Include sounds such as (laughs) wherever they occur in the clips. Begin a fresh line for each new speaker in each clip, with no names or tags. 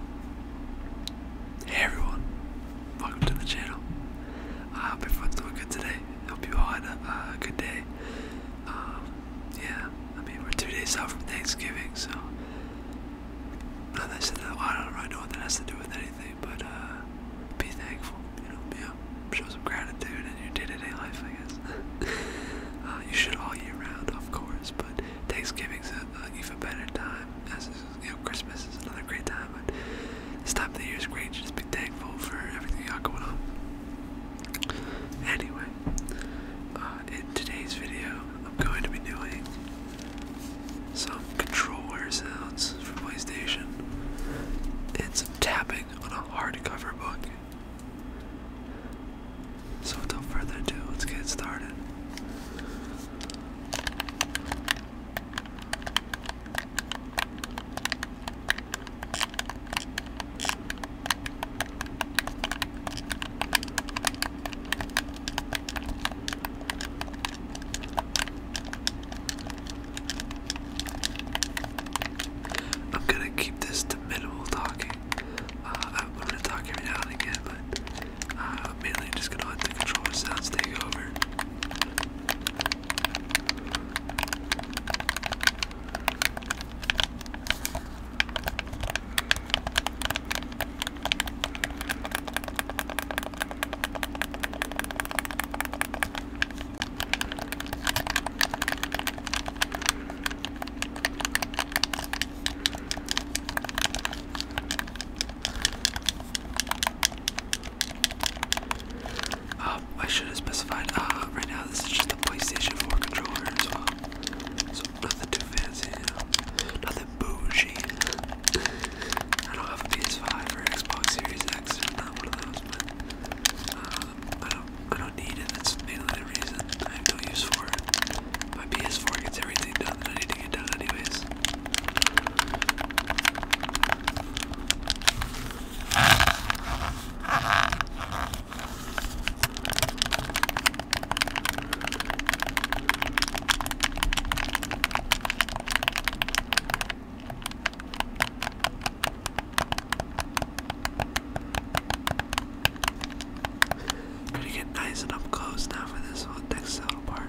Hey everyone, welcome to the channel. I hope everyone's doing good today. Hope you all had a, uh, good day. Um, yeah, I mean, we're two days out from Thanksgiving, so. I don't really know what that has to do with anything, but uh, be thankful, you know, um, show some gratitude in your day to day life, I guess. (laughs) Uh, you should all year round, of course, but Thanksgiving's an even better time as you know, Christmas is another great time, but this time of the year is great. Just be thankful for everything you got going on. Anyway, uh, in today's video, I'm going to be doing some controller sounds for PlayStation and some tapping on a hardcover book. So without further ado, let's get started. I'm going to keep this to minimal talking uh, I'm going to talk every now and again, but uh, mainly I'm just gonna let the controller sounds take over. Um, I should have specified, uh, right now this is just a PlayStation 4 controller as well. Uh, so nothing too fancy, nothing bougie. I don't have a PS5 or Xbox Series X. I'm not one of those, but um, I, don't, I don't need it, that's mainly the reason I have no use for it. My PS4 gets everything done I need to get done, anyways. Gotta get nice and up close now for this whole next part.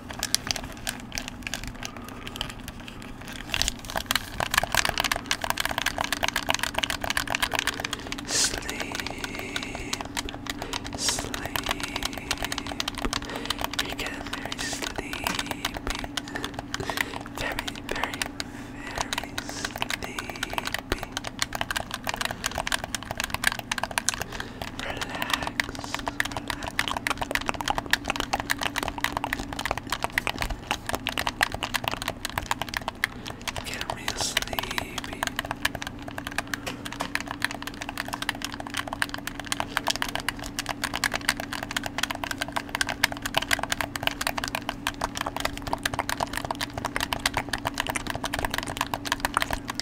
Sleep, sleep. You're very sleepy. Very, very, very sleepy relax, Get me sleepy.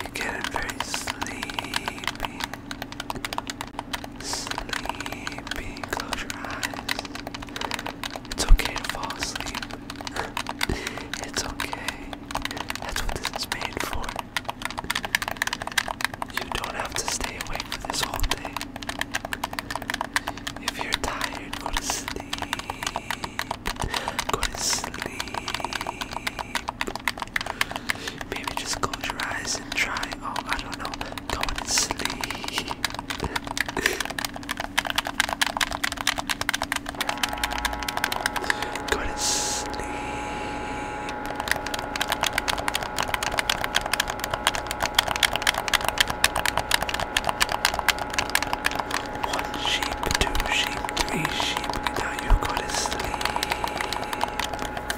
You're getting very sleepy. Sleep, close your eyes. It's okay to fall asleep. (laughs) it's okay. That's what this is made for. You don't have to stay awake for this whole thing. If you're tired, go to sleep. Go to sleep. Maybe just close your eyes try, oh, I don't know, going to sleep. Go to sleep. One sheep, two sheep, three sheep, now you go to sleep.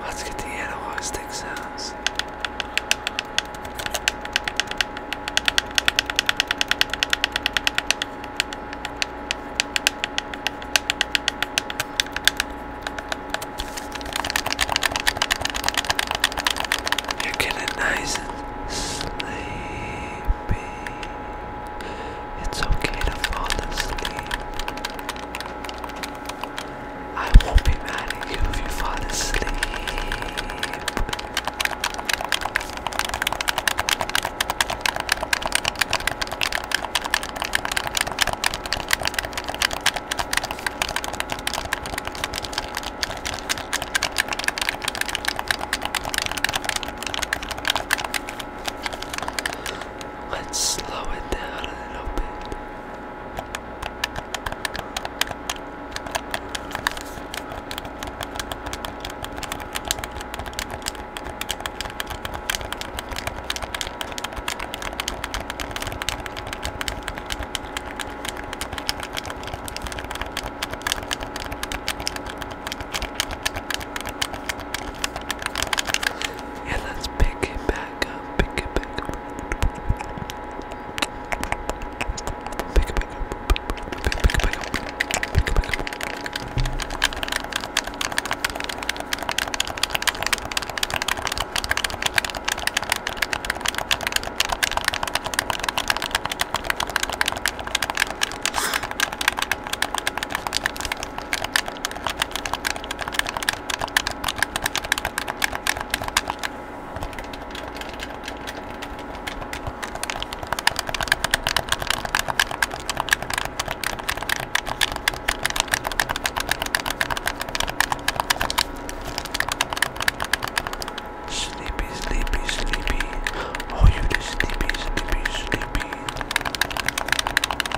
Let's get the analog stick sounds. You're getting nice and sleepy. It's okay to fall asleep. I won't be mad at you if you fall asleep. Let's slow it down a little bit. Yeah, let's pick it back up, pick it back up. Pick it back up. Pick it back up. Pick it back up. Sleepy, sleepy, sleepy. Oh, you sleepy, sleepy, sleepy.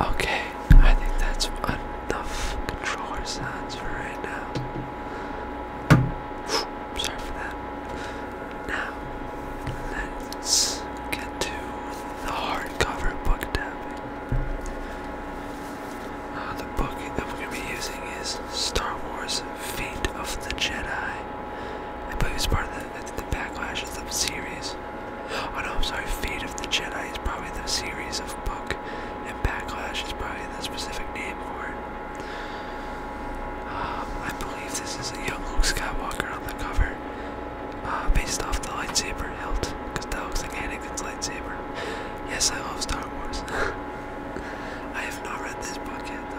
Okay, I think that's enough controller sounds for right now. Sorry for that. Now, let's get to the hardcover book tapping. Uh, the book that we're going to be using is Star Wars Fate of the Jedi. I believe it's part of the Backlash of the series. Oh no, I'm sorry, Fate of the Jedi is probably the series of book, and Backlash is probably the specific name for it. Um, I believe this is a young Luke Skywalker on the cover, uh, based off the lightsaber hilt, because that looks like Anakin's lightsaber. Yes, I love Star Wars. (laughs) I have not read this book yet, though.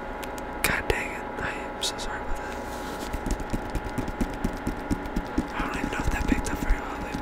God dang it, I am so sorry about that. I don't even know if that picked up very well, but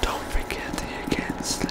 Don't forget you can't sleep.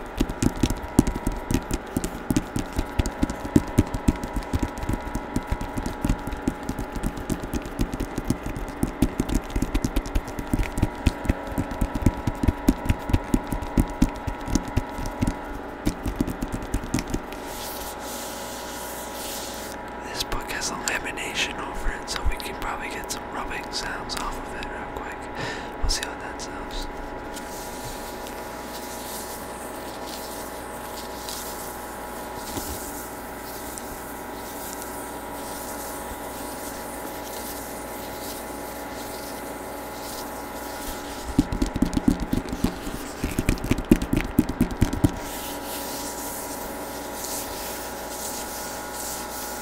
This book has a lamination over it, so we can probably get some rubbing sounds off of it real quick. We'll see about themselves.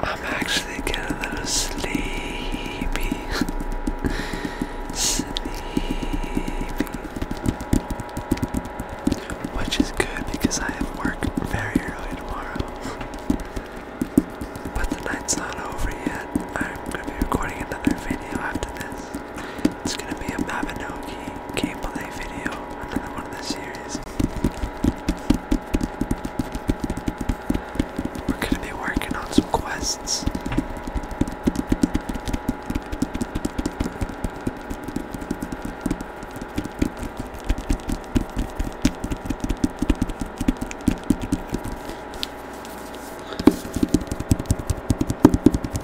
I'm actually getting a little sleepy. sleepy. Which is good because I have work very early tomorrow. but the night's not over yet. I'm gonna be recording another video after this. It's gonna be a Babinoki gameplay video, another one of the series. We're gonna be working on some quests.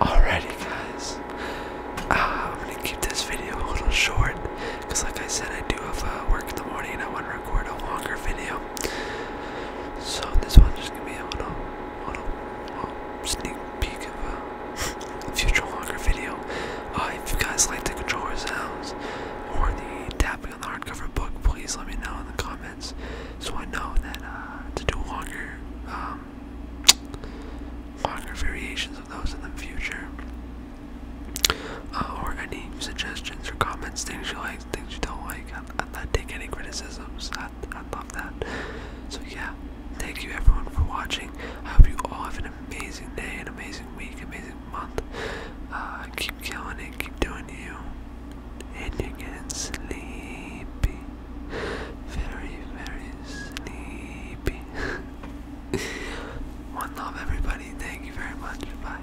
Alrighty, guys. Ah, I'm gonna keep this video a little short because, like I said, I do have uh, work in the morning and I want to record a longer video. So this one just gonna be a little, little, little sneak peek of a, future longer video. Uh, if you guys like the controller sounds or the tapping on the hardcover book, please let me know in the comments so I know that uh, to do longer, um, longer variations of those in the future. Uh, or any suggestions or comments, things you like things you don't like, and, and take any criticisms. I, I love that. So, yeah, thank you everyone for watching. I hope you all have an amazing day, an amazing week, amazing month. Uh, keep killing it, keep doing you. And you're getting sleepy. Very, very sleepy. (laughs) One love, everybody. Thank you very much. Bye.